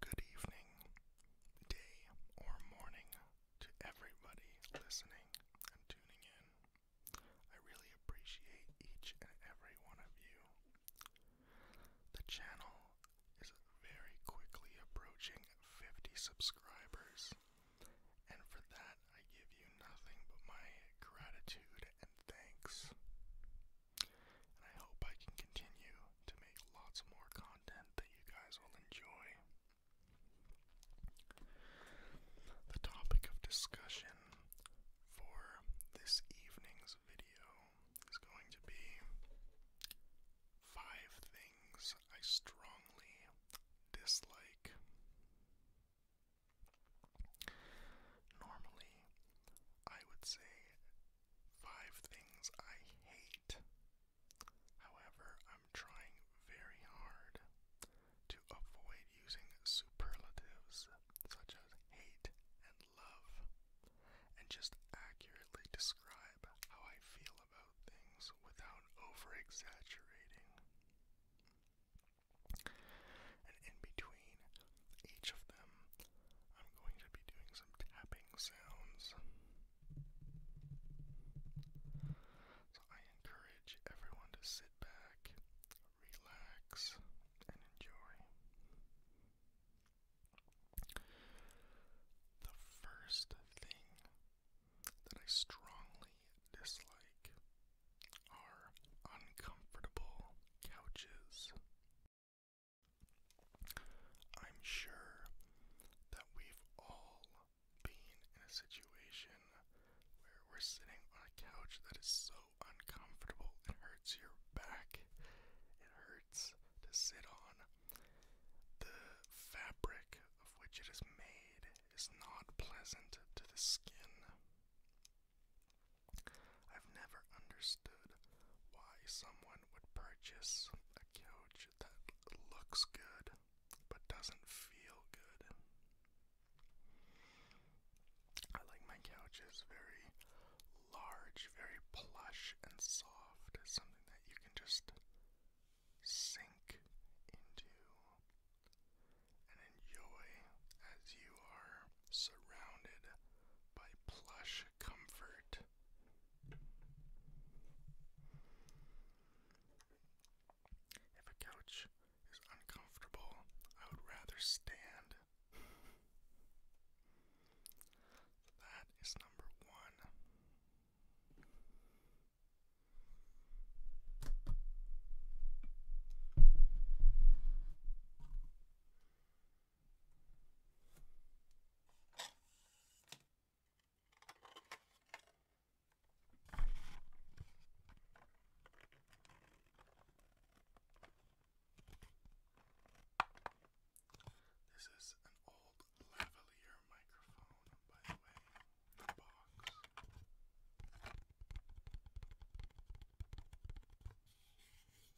Good evening, day, or morning to everybody listening and tuning in. I really appreciate each and every one of you. The channel is very quickly approaching 50 subscribers, and for that, I give you nothing but my gratitude and thanks. I hope I can continue to make lots more content that you guys will enjoy. The topic of discussion for this evening's video is going to be five things I strongly dislike. Normally, I would say Five things I hate. However, I'm trying very hard to avoid using superlatives such as hate and love and just accurately describe how I feel about things without over exaggerating. And in between each of them, I'm going to be doing some tapping sounds. So I encourage everyone to sit back, relax, and enjoy. The first thing that I strongly dislike are uncomfortable couches I'm sure that we've all been in a situation where we're sitting on a couch that is so uncomfortable it hurts your back. It hurts to sit on. The fabric of which it is made is not pleasant to the skin. I've never understood why someone would purchase a couch that looks good but doesn't feel good. I like my couches very large, very plush and soft, something that you can just sink into and enjoy as you are surrounded by plush comfort if a couch is uncomfortable, I would rather stand. That is number one. This is an old lavalier microphone, by the way, the box.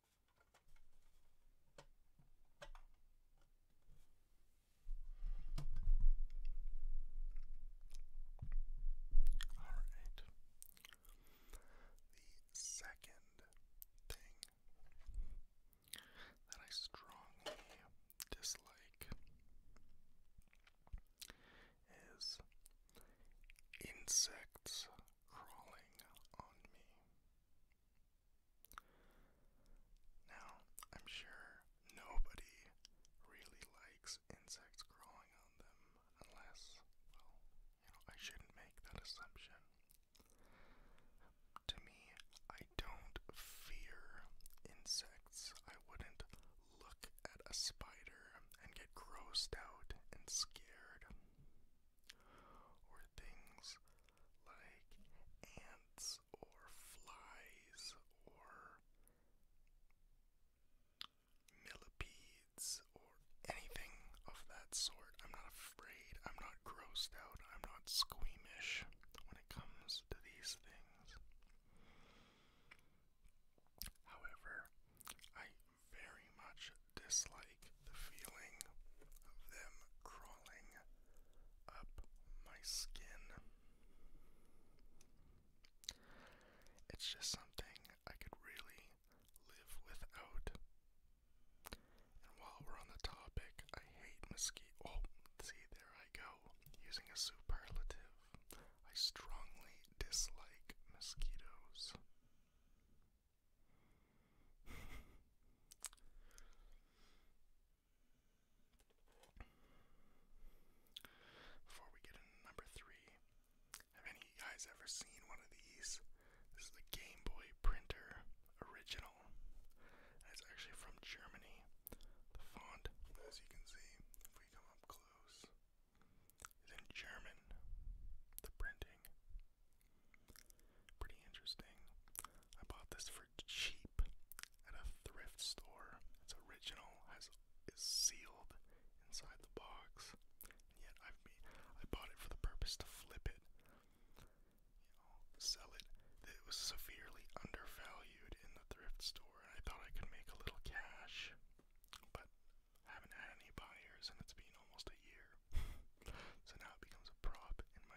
The second thing that I strongly dislike is insects crawling on me. Now, I'm sure nobody really likes insects crawling on them unless, well, you know, I shouldn't make that assumption. To me, I don't fear insects. I wouldn't look at a spider and get grossed out and scared or things like ants or flies or millipedes or anything of that sort. I'm not afraid, I'm not grossed out, I'm not squeamish when it comes to these things. However, I very much dislike the feeling of them crawling up my skin. It's just something I could really live without. And while we're on the topic, I hate mosquito. Oh, see, there I go, using a superlative. I strongly dislike mosquitoes. Before we get into number three, have any of you guys ever seen one of these? This is the Game Boy Printer Original. it's actually from Germany. The font, as you can see, if we come up close, is in German. The printing. Pretty interesting. I bought this for cheap at a thrift store. It's original, has is sealed inside the box, yet I've I bought it for the purpose to flip it, sell it. It was severely undervalued in the thrift store, I thought I could make a little cash, but haven't had any buyers, and it's been almost a year. so now it becomes a prop in my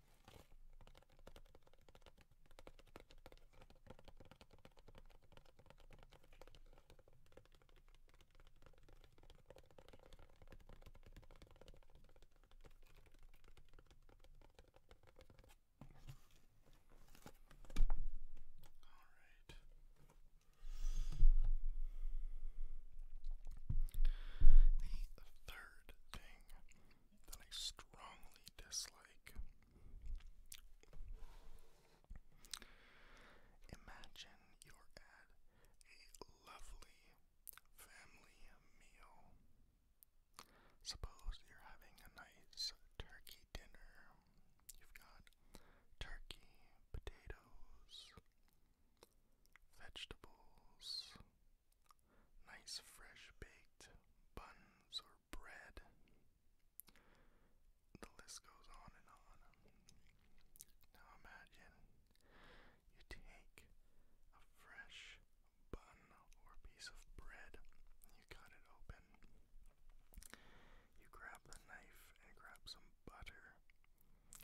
right. The third thing that I strongly dislike. Imagine you're at a lovely family meal. Suppose you're having a nice turkey dinner. You've got turkey, potatoes, vegetables, nice fresh baked buns or bread. The list goes on and on. Now imagine you take a fresh bun or piece of bread, you cut it open, you grab the knife and grab some butter, you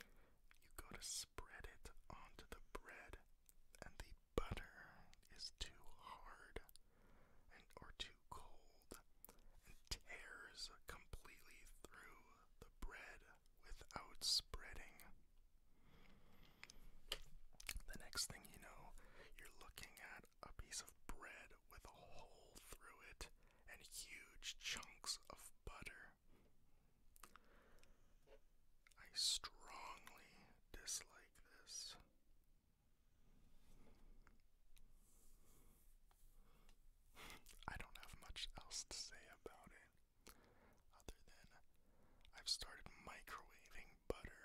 go to spread it onto the bread, and the butter is too hard or too cold and tears completely through the bread without spreading. The next thing you know, you're looking at a piece of bread with a hole through it and huge chunks of butter. I strongly dislike I don't have much else to say about it, other than I've started microwaving butter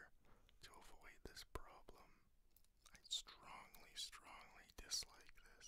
to avoid this problem. I strongly, strongly dislike this.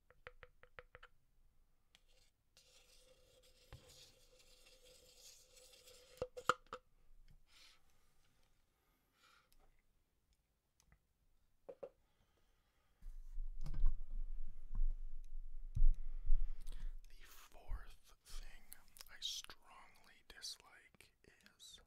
The fourth thing I strongly dislike is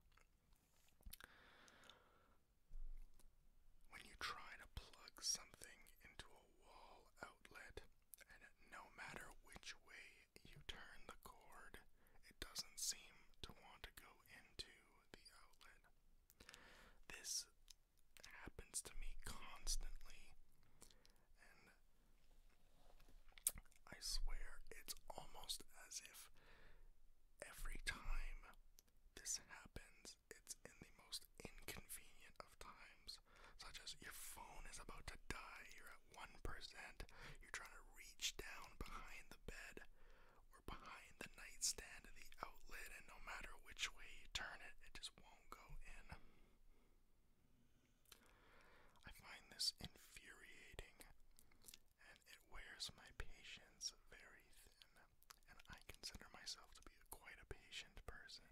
when you try to plug something into a wall outlet, and no matter which way you turn the cord, it doesn't seem to want to go into the outlet. This happens to me constantly, and I swear it's almost as if every time this happens, it's in the most inconvenient of times, such as your phone is about to die, you're at 1%, you're trying to reach down behind the bed or behind the nightstand of the outlet, and no matter which way you turn it, it just won't go in. I find this infuriating and it wears my patience very thin and I consider myself to be a, quite a patient person.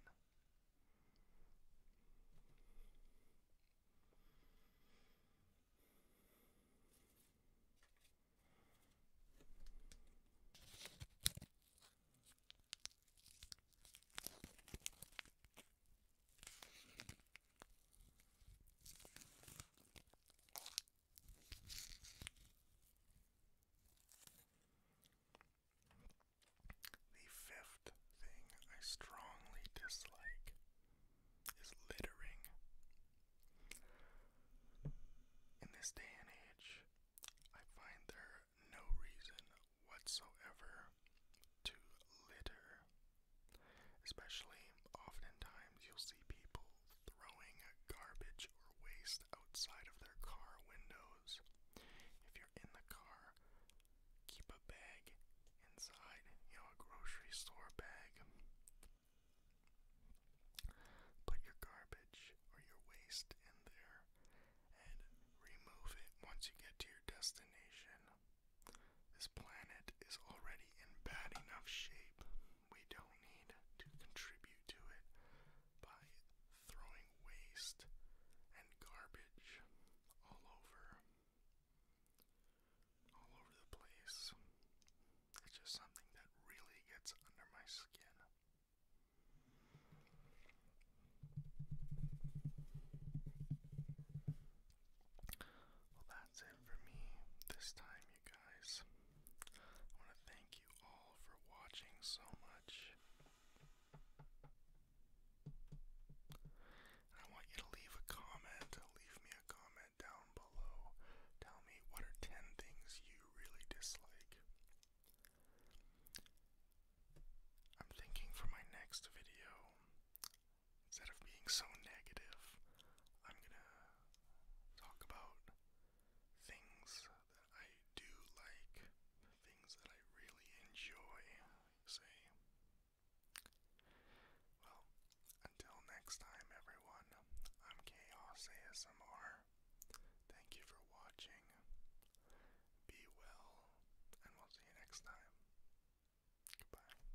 The fifth thing I strongly dislike is littering. In this day and age, I find there no reason whatsoever to litter. Especially, oftentimes, you'll see people throwing garbage or waste outside of their car windows. If you're in the car, keep a bag inside, you know, a grocery store bag. Put your garbage or your waste in there and remove it once you get to your destination. This planet is already in bad enough shape we don't need to contribute to it by throwing waste and garbage all over all over the place. It's just something that really gets under my skin. Well, that's it for me this time, you guys. I want to thank you all for watching so much. I want you to leave a comment. Leave me a comment down below. Tell me what are 10 things you really dislike. I'm thinking for my next video, instead of being so negative, I'm gonna talk about things that I do like, things that I really enjoy, say. Well, until next time, everyone, I'm Chaos ASMR. Thank you for watching. Be well, and we'll see you next time. Goodbye.